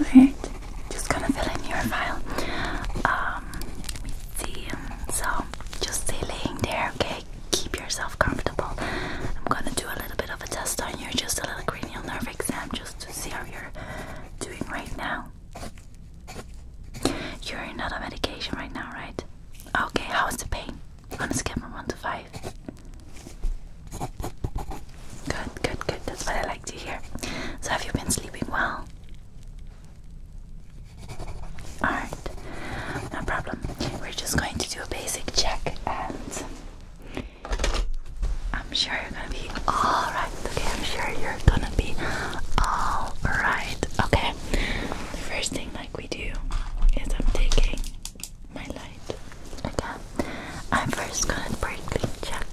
Okay, just gonna fill in your file. Um, So, just stay laying there, okay? Keep yourself comfortable. I'm gonna do a little bit of a test on you, just a little cranial nerve exam, just to see how you're doing right now. You're not on medication right now, right? Okay, how is the pain? I'm gonna skip from 1 to 5. Good, good, good. That's what I like to hear. So, have you been sleeping well? Alright, no problem. We're just going to do a basic check and I'm sure you're gonna be alright. Okay, I'm sure you're gonna be alright. Okay, the first thing like we do is I'm taking my life. Okay. I'm first gonna briefly check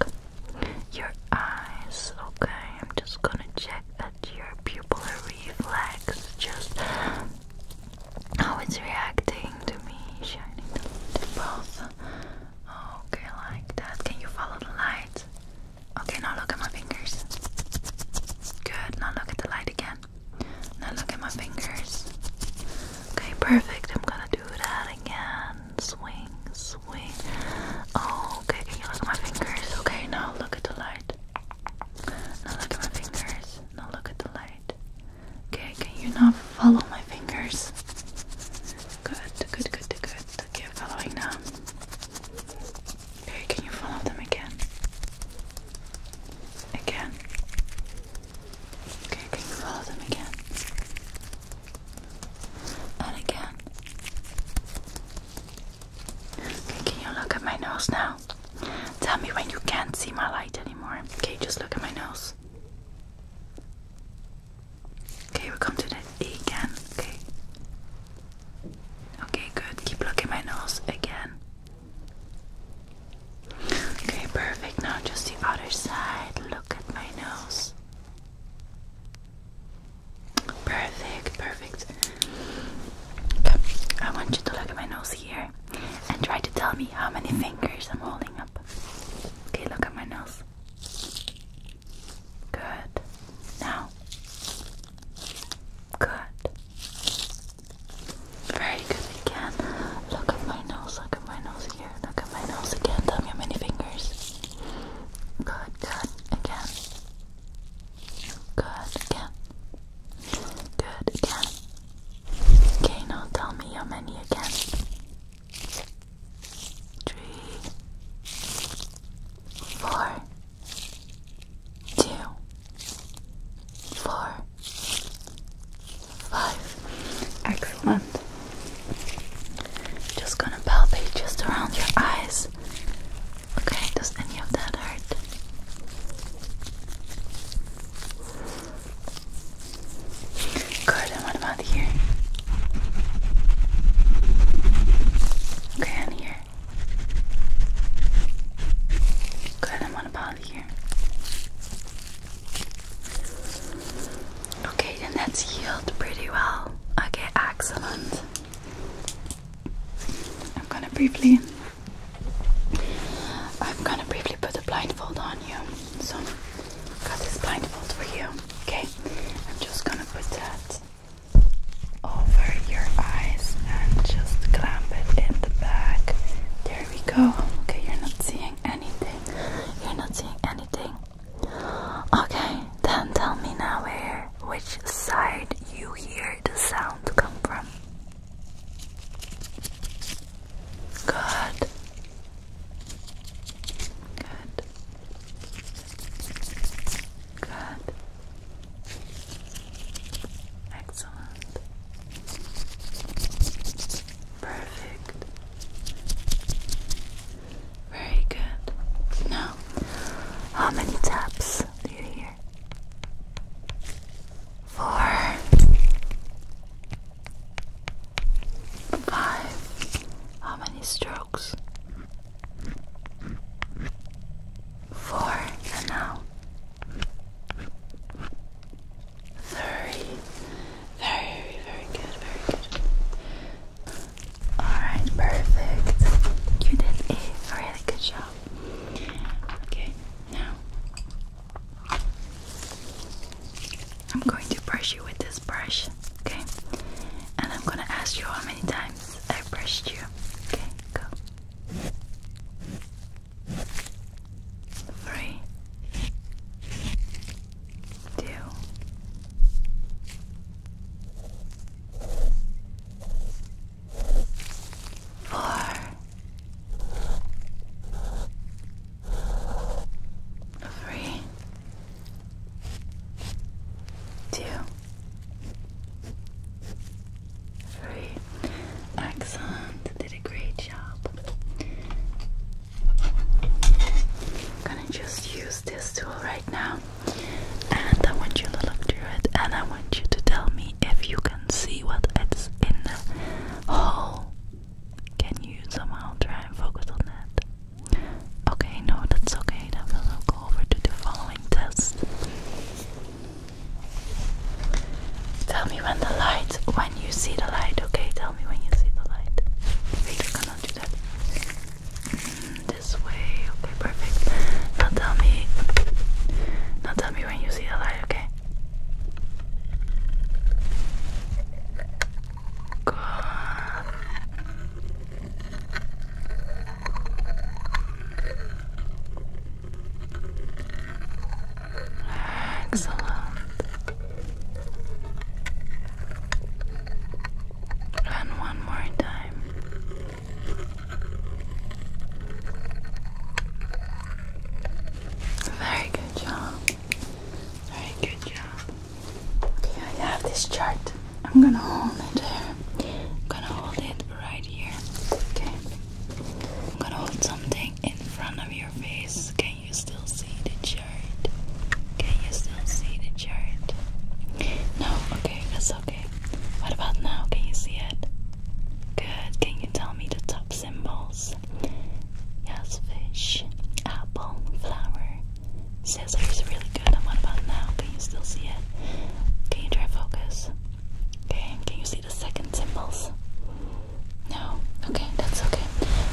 your eyes, okay? I'm just gonna check that your pupillary reflex just how it's reacting to me shining the, the Okay, like that. Can you follow the light? Okay, now look at my fingers. Good, now look at the light again. Now look at my fingers. Okay, perfect. I'm gonna do that again. Swing, swing. Oh, okay, can you look at my fingers? Okay, now look at the light. Now look at my fingers. Now look at the light. Okay, can you now follow my fingers? Good, good, good, good. Okay, I'm following now. Okay, can you follow them again? Again. Okay, can you follow them again? And again. can you look at my nose now? Tell me when you can't see my light anymore. Okay, just look at my nose. Okay, we'll come to the E again. Okay. Okay, good. Keep looking at my nose again. Okay, perfect. Now just the other side. Look at my nose. Perfect, perfect. Okay. I want you to look at my nose here and try to tell me how many fingers I'm holding up. Okay, look at my nose. Good. Now. Good. Very good again. Look at my nose, look at my nose here here. Look at my nose again. Tell me how many fingers. Good, good, again. Good, again. Good, again. Okay, now tell me how many again. Three, four, two, four, Excellent. Just gonna palpate just around your eyes. Okay, does any of that hurt? Good, and what about here? Okay, and here. Good, and what about here? Okay, and that's healed pretty well. Okay, excellent. I'm gonna briefly I'm gonna briefly put a blindfold on you. So i got this blindfold for you. Okay. I'm just gonna put that over your eyes and just clamp it in the back. There we go. Okay, you're not seeing anything. You're not seeing anything. Okay, then tell me now where, which side you hear the sound come from. Good. Good. Good. Excellent. Perfect. Very good. Now, how many taps do you hear? Four, five. How many strokes? Four, and now very, very, very good, very good. Alright, perfect. You did a really good job. Okay, now I'm going to brush you with this brush, okay? And I'm gonna ask you how many times I brushed you. Okay, go three, two, four, three, two, three. Excellent. Did a great job. gonna just use this tool right now. And I want you to look through it and I want you to tell me if you can see what it's in the hole. Can you somehow try and focus on that? Okay, no, that's okay. Then will go over to the following test. Tell me when the light, when you see the light, okay? Tell me when you see the light. Wait, cannot do that. Mm, this way, okay, perfect. Now tell me, now tell me when you see the light, okay? Good. Excellent. And one more time. Very good job. Very good job. Okay, I have this chart. I'm gonna hold it here. I'm gonna hold it right here. Okay. I'm gonna hold something in front of your face. Can you still see the chart? Can you still see the chart? No? Okay, that's okay. What about now? Can you see it? Good. Can you tell me the top symbols? Yes, fish, apple, flower, scissors. Really good. And what about now? Can you still see it? Can you try focus? Okay, can you see the second symbols? No? Okay, that's okay.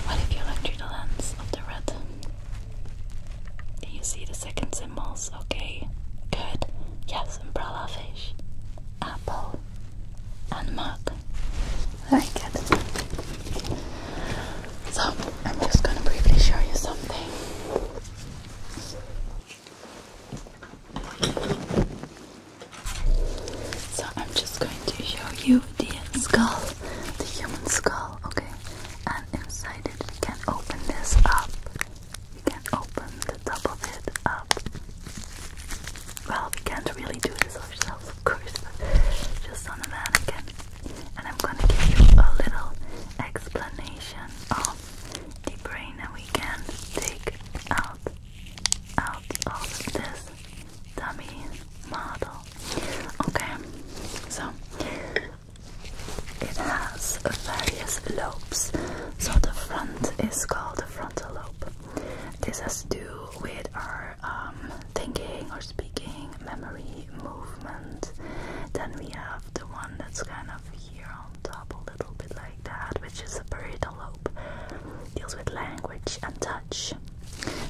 What if you look through the lens of the red? Do you see the second symbols? Okay, good. Yes, umbrella fish, apple, and mug. Very good. So, I'm just gonna briefly show you something. So I'm just going to show you the skull, the human skull, okay? And inside it, we can open this up. We can open the top of it up. Well, we can't really do this ourselves, of course, but just on a mannequin. And I'm gonna give you a little explanation of the brain, that we can take out out of this dummy model. Okay, so it has various lobes. So the front is called the frontal lobe. This has to do with our um, thinking or speaking, memory, movement. Then we have the one that's kind of here on top of a little bit like that, which is the parietal lobe. Deals with language and touch.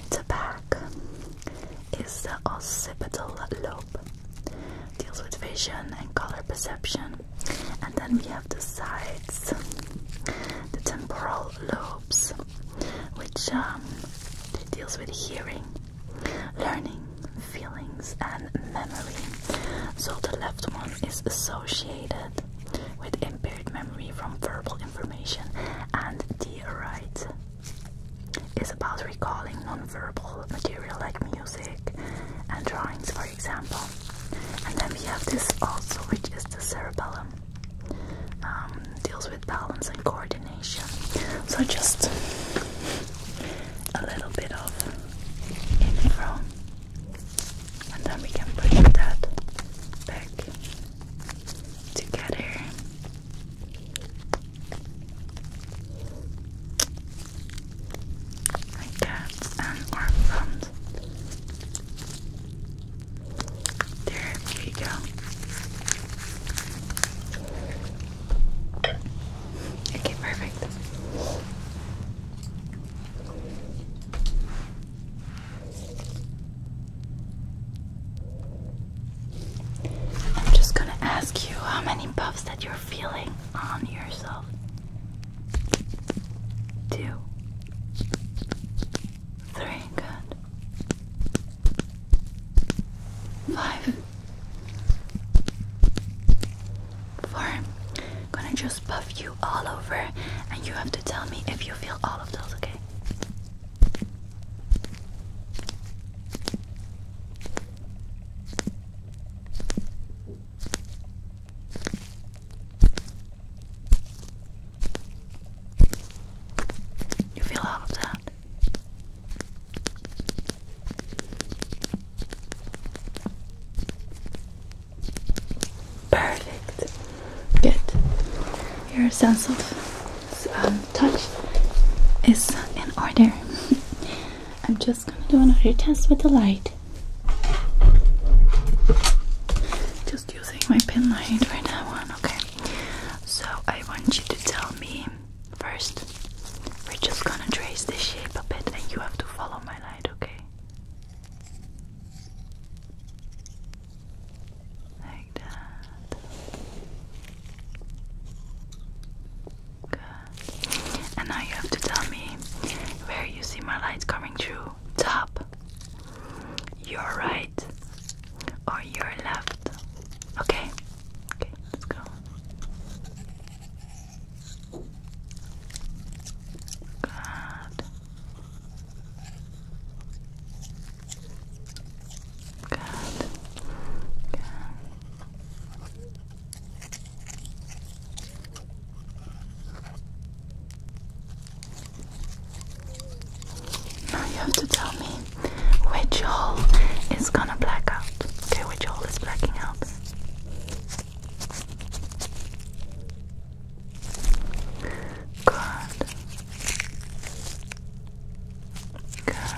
The back is the occipital lobe. Deals with vision and color perception. And then we have the sides, the temporal lobes, which um, deals with hearing, learning, feelings, and memory. So the left one is associated with impaired memory from verbal information, and diorite is about recalling non-verbal material like music and drawings, for example. And then we have this also, which is the cerebellum, um, deals with balance and coordination. So just a little bit of info and then we can push that back together. Like that, and our front. There we go. Okay, perfect. I'm just gonna ask you how many puffs that you're feeling on yourself. Two, three, good. Five. I'm gonna just buff you all over, and you have to tell me if you feel all of those, okay? You feel all of that? Perfect. Good. Your sense of um, touch is in order. I'm just gonna do another test with the light. Just using my pen light right now on, okay? So I want you to tell me first. We're just gonna trace the shape a bit and you have to follow my light, okay? Like that. Good. And now you have to tell me where you see my lights coming through. Top, your right, or your left. Okay? Okay, let's go. Now you have to tell me which hole is gonna black out. Okay, which hole is blacking out? Good. Good. Good.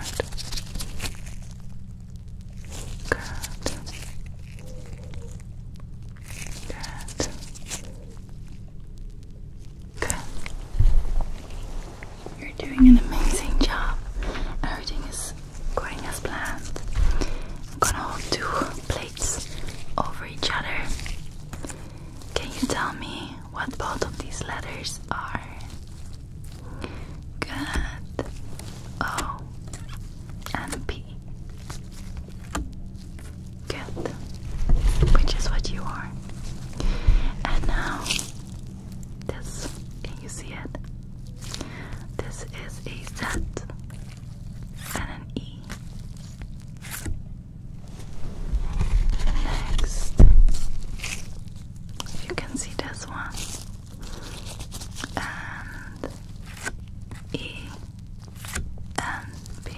Good. Good. You're doing an amazing job. Everything is going as planned. gonna hold two plates over each other. Can you tell me what both of these letters are? Good. and P. Which is what you are. And now this. Can you see it? This is a Z and an E. Next, you can see this one and E and B.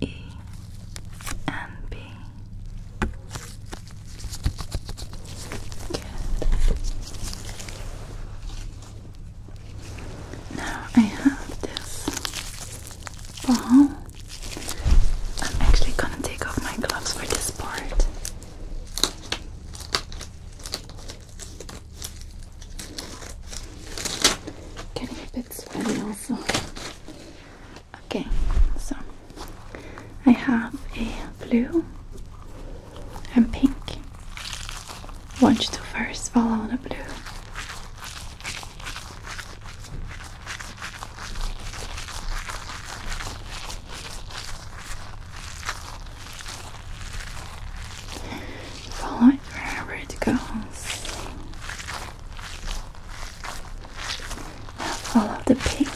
E and B now I have this ball. I'm actually gonna take off my gloves for this part. Getting a bit sweaty also. Okay, so I have a blue and pink. I want you to first follow the blue. Follow it wherever it goes. Now follow the pink.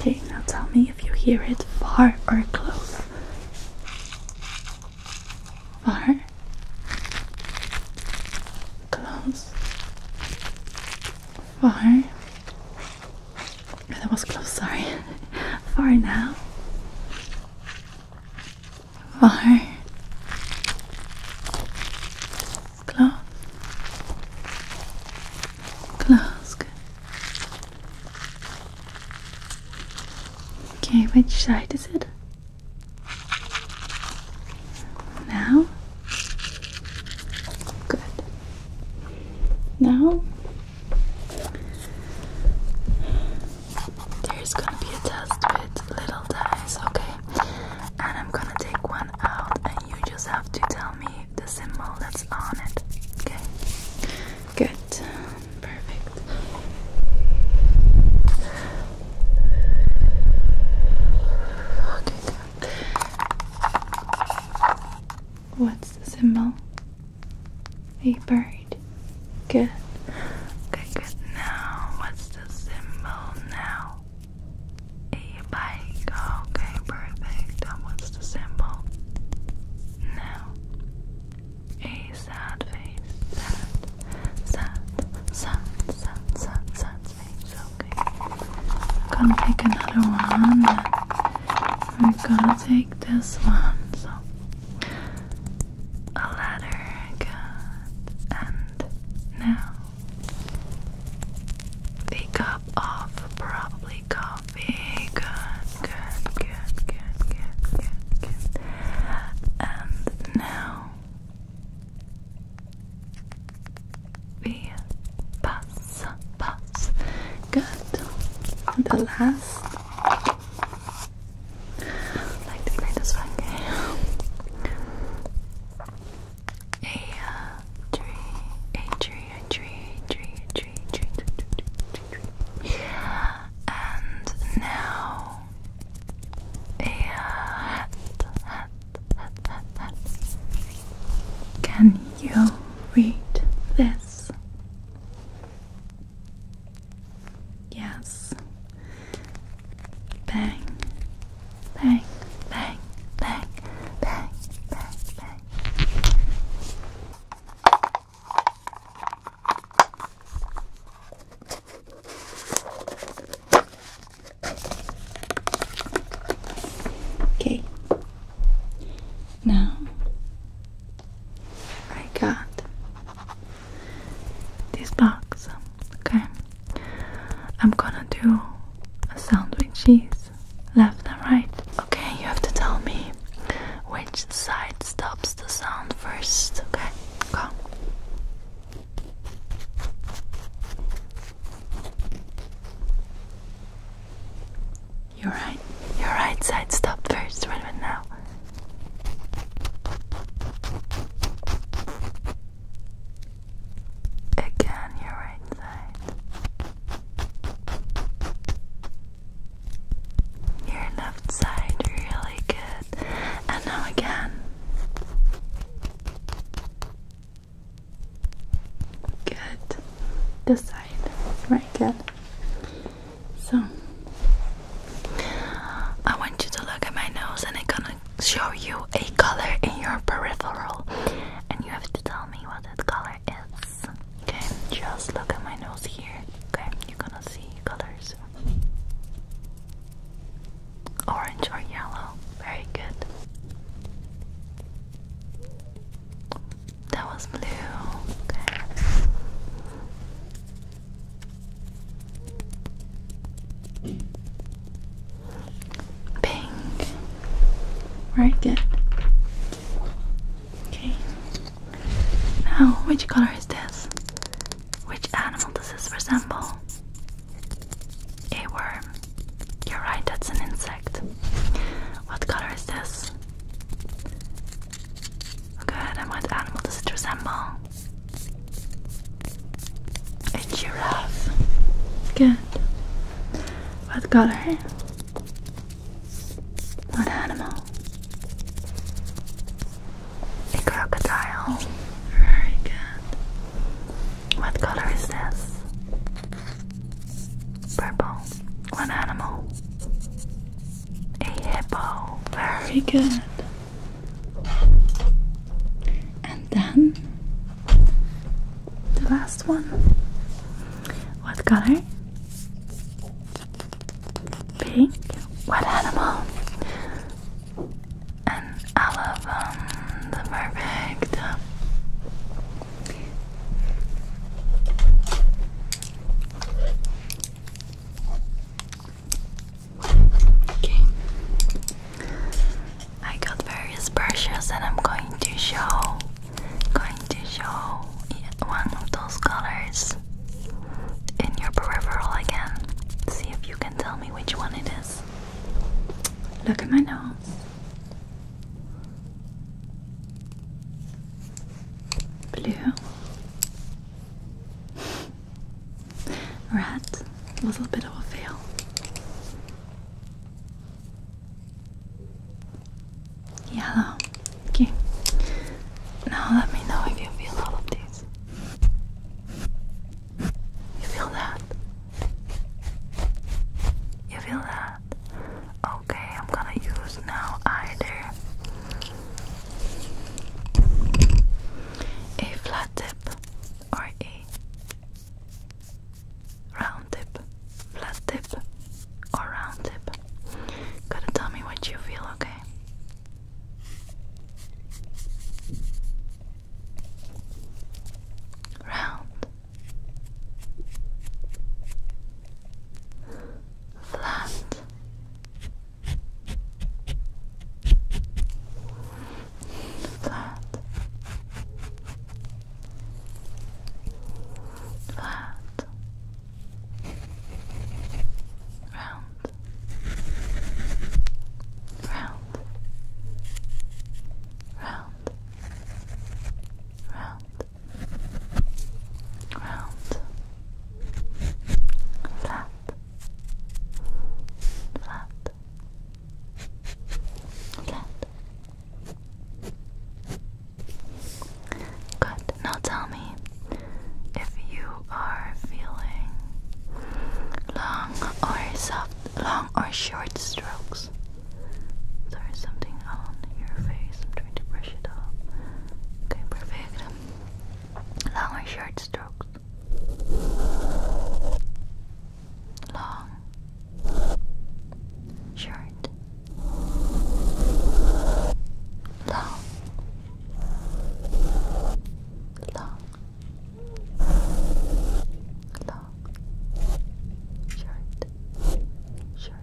Okay, now tell me if you hear it far or close. Far, close, far, that was close, sorry. Far now. Far. Close. Close. Good. Okay, which side is it? Now? Good. Now, there's gonna be a test with little dice, okay? And I'm gonna take one out, and you just have to tell me the symbol that's on it, okay? Good, perfect. Okay, What's the symbol? A bird. Good. Okay, good. Now, what's the symbol now? A bike. Okay, perfect. And um, what's the symbol? Now. A sad face. Sad. Sad. Sad. Sad. Sad. Sad face. I'm gonna pick another one. We're gonna take this one. So a letter, good. And now a cup of probably coffee. good, good, good, good, good, good. And now we pass, pass. Good. The last. Like the greatest fun A uh, tree, a tree, a tree, a tree, a tree, a tree, tree, tree. And now a uh, hat, hat, can you read this? Yes. Bang, bang, bang, bang, bang, bang, Okay, now I got this box. Okay, I'm gonna do a sandwich cheese, left and right. Okay, you have to tell me which side stops the sound first. Okay, go. Your right, your right side Stop first, right, right now. Again, your right side. Your left side, really good. And now again. Good. This side. Right, good. So, I want you to look at my nose and I'm gonna show you a color in your peripheral. And you have to tell me what that color is. Okay, just look at my nose here. Okay, you're gonna see colors orange or yellow. Very good. That was blue. Okay. Pink. Very good. Okay. Now, which color is this? Which animal does this resemble? A worm. You're right, that's an insect. What color is this? Good, and what animal does it resemble? A giraffe. Good. What color? What animal? A crocodile. Very good. What color is this? Purple. One animal. A hippo. Very good. And then the last one. What color? Pink. What animal? and all of them um, the perfect. Uh, okay. I got various brushes and I'm going to show going to show one of those colors in your peripheral again. See if you can tell me which one it is. Look at my nose. Blue. Red. A little bit of a fail. Yellow. Okay. Now let me know if you feel all of these. You feel that? You feel that? Okay, I'm gonna use now either a flat tip or a round tip. Flat tip or round tip. Gotta tell me what you feel, okay? round, flat, flat, flat, round, round round, round, round, flat, flat, flat. Good. Now tell me if you are feeling long or soft long or short strokes. There is something on your face. I'm trying to brush it off. Okay, perfect. Long or short strokes. Long. Short. Long. Long long shirt, shirt,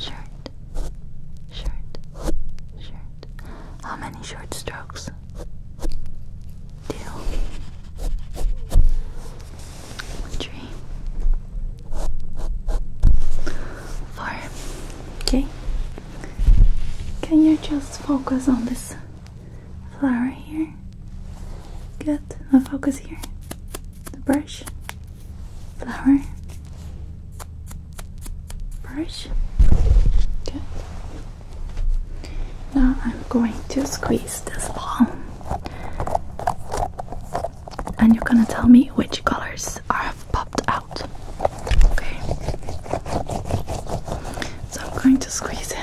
shirt, shirt, shirt. How many short strokes? Two. Okay. Can you just focus on this flower here. Good. Now focus here. The brush, flower, brush. Good. Now I'm going to squeeze this ball, and you're gonna tell me which colors are popped out. Okay. So I'm going to squeeze in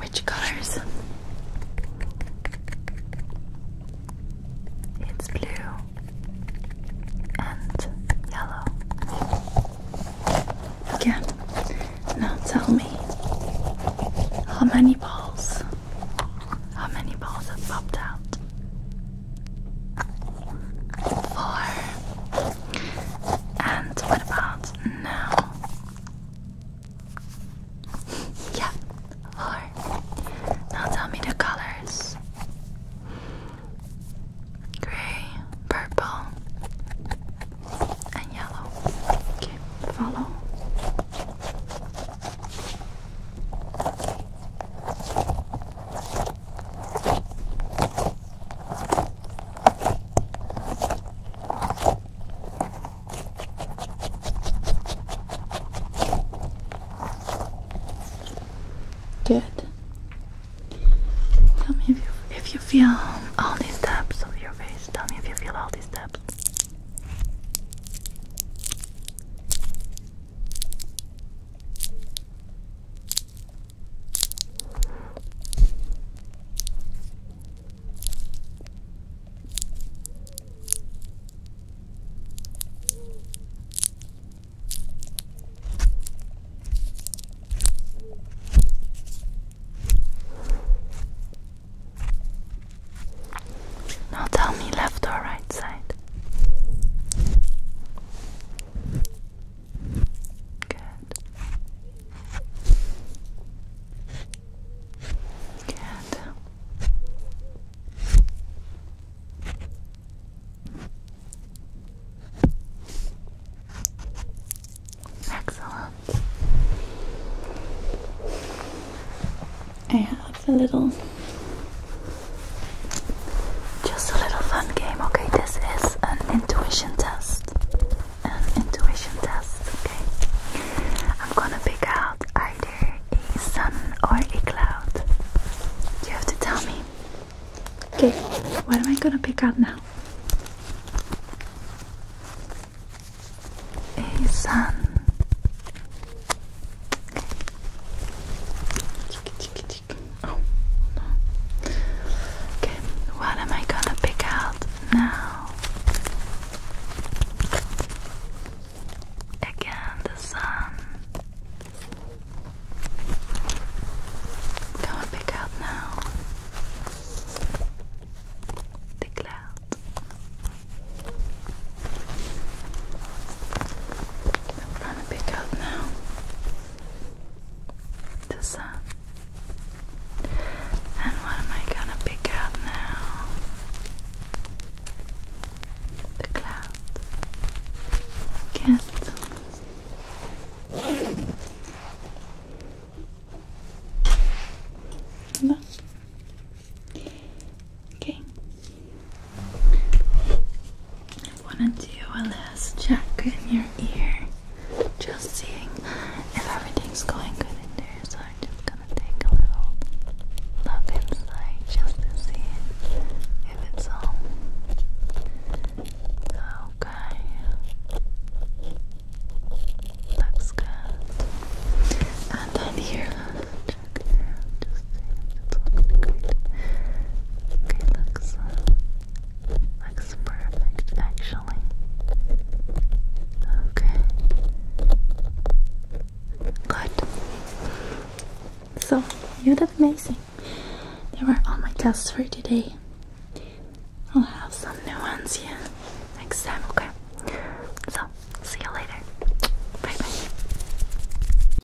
which colors? It's blue and yellow. Again, now tell me how many balls, how many balls have popped out? Four. And what about now? yeah, four. Now tell me the colors. Gray, purple, and yellow. Okay, follow. Good. Tell me if you if you feel all these steps of your face. Tell me if you feel all these steps. Now tell me left or right side. Good. Good. Excellent. I have a little just a little fun game, okay? This is an intuition test. An intuition test, okay? I'm gonna pick out either a sun or a cloud. You have to tell me. Okay, what am I gonna pick out now? A sun. Oh. Okay, what am I gonna pick out now? Again, the sun. Can we pick out now? The cloud. gonna pick out now the sun. And what am I gonna pick out now? The clouds. Yes. No. Okay. I want to do a last check in your ear, just seeing if everything's going good in there. So I'm just gonna take a little look inside just to see if it's all okay. Looks good. And then here, check it out, see if it's all going great. It looks, looks perfect actually. Okay. Good. So, you did amazing. They were all my tests for today. I'll have some new ones, yeah, next time, okay? So, see you later. Bye bye.